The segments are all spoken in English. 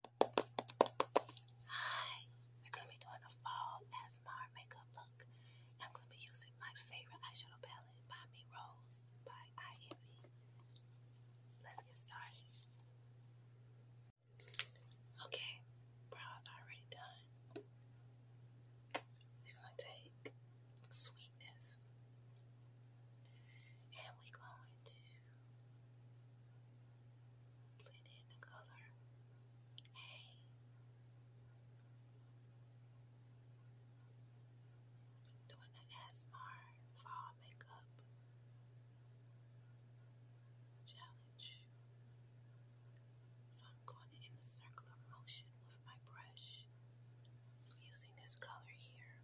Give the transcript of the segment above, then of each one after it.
Hi, we're going to be doing a fall ASMR makeup look. I'm going to be using my favorite eyeshadow palette by Me Rose by IMV. Let's get started. Okay, brows already done. We're going to take sweetness and we're going to Blend in the color. Hey. Doing the ASMR fall makeup challenge. So I'm going in a circular motion with my brush. using this color here.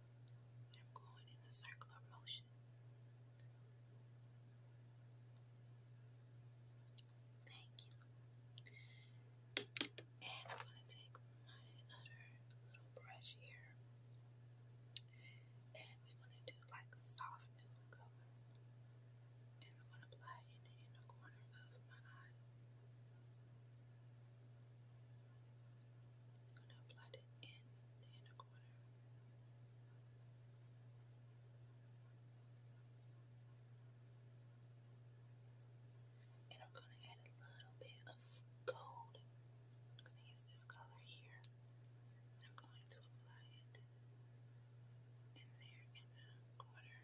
I'm going in a circular motion. Thank you. And I'm going to take my other little brush here. And we're going to do like a soft nude color. And I'm going to apply it in the corner of my eye. I'm going to apply in the And I'm going to add a little bit of gold. I'm going to use this color here. I'm going to apply it in there in the corner.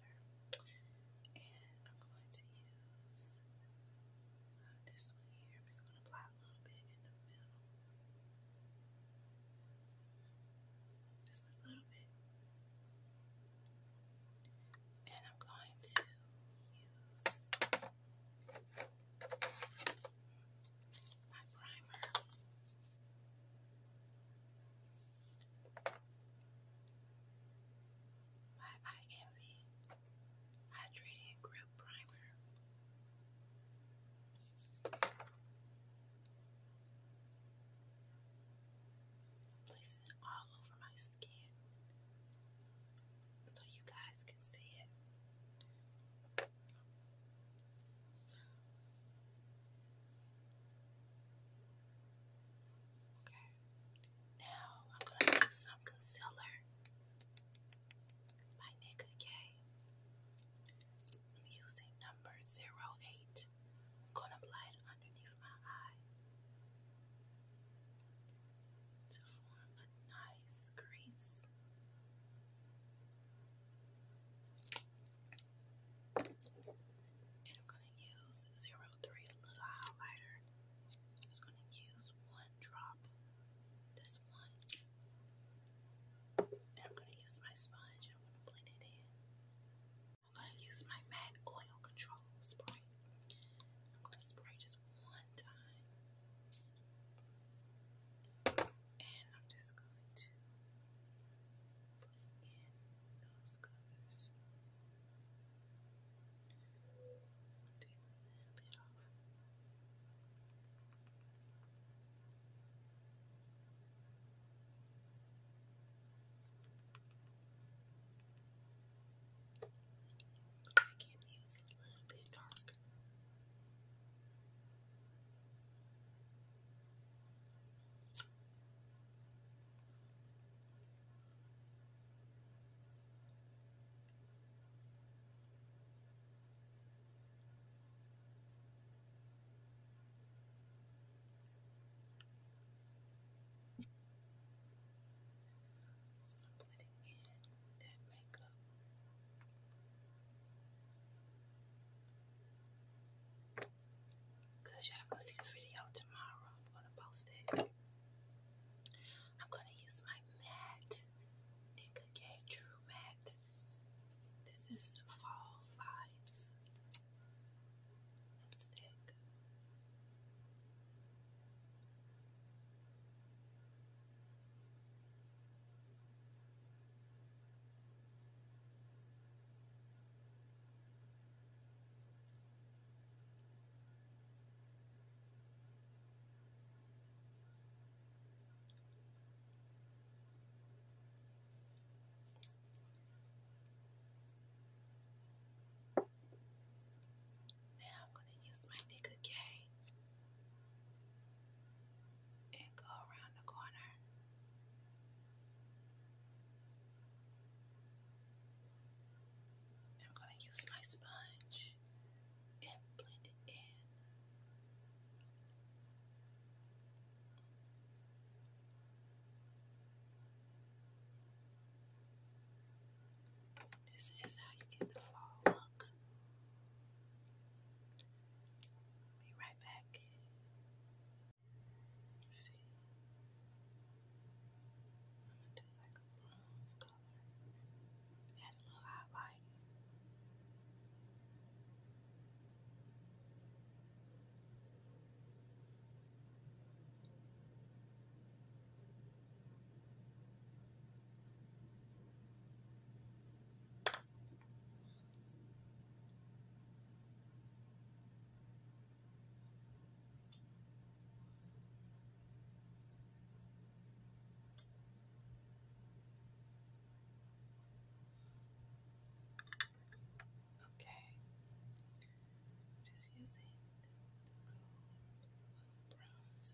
glitter. And I'm going to use uh, this one here. I'm just going to apply a little bit in the middle. Just a little bit. And I'm going to use my primer. My Hydrating Grip Primer. Place it all over my skin so you guys can see it. Okay. Now I'm gonna use some concealer. My Naked K. I'm using number 08. I'm gonna apply it underneath my eye to form a nice crease. And I'm going to use 03 little highlighter. I'm just going to use one drop, this one. And I'm going to use my sponge and I'm going to blend it in. I'm going to use my MAC Oil Control Spray. I'm going to spray just one time. And I'm just going to put in those colors. Take a little bit off. I can use a little bit dark. So I'm blending in that makeup. Cause y'all gonna see the video tomorrow. I'm gonna post it. I'm gonna use my matte Nika K True Matte. This is Fall Vibes lipstick. Now I'm going to use my nigga K and go around the corner. I'm going to use my sponge and blend it in. This is how you get the fall look. Be right back. See, I'm gonna do like a bronze color. Add a little highlight. Okay, I'm just using the, the comb bronze.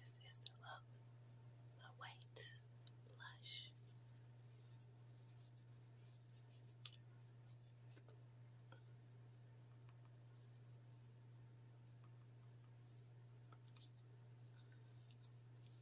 This is the Love the White Blush.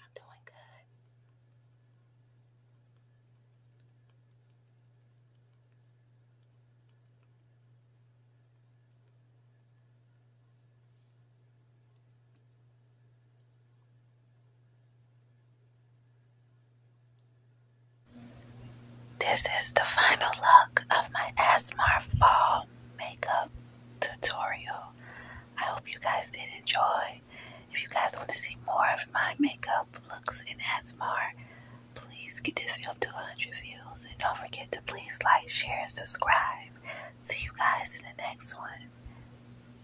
I'm doing good. This is the final look of my Asmar fall makeup tutorial. I hope you guys did enjoy. If you guys want to see more of my makeup looks in Asmar, please get this video up to 100 views. And don't forget to please like, share, and subscribe. See you guys in the next one.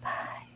Bye.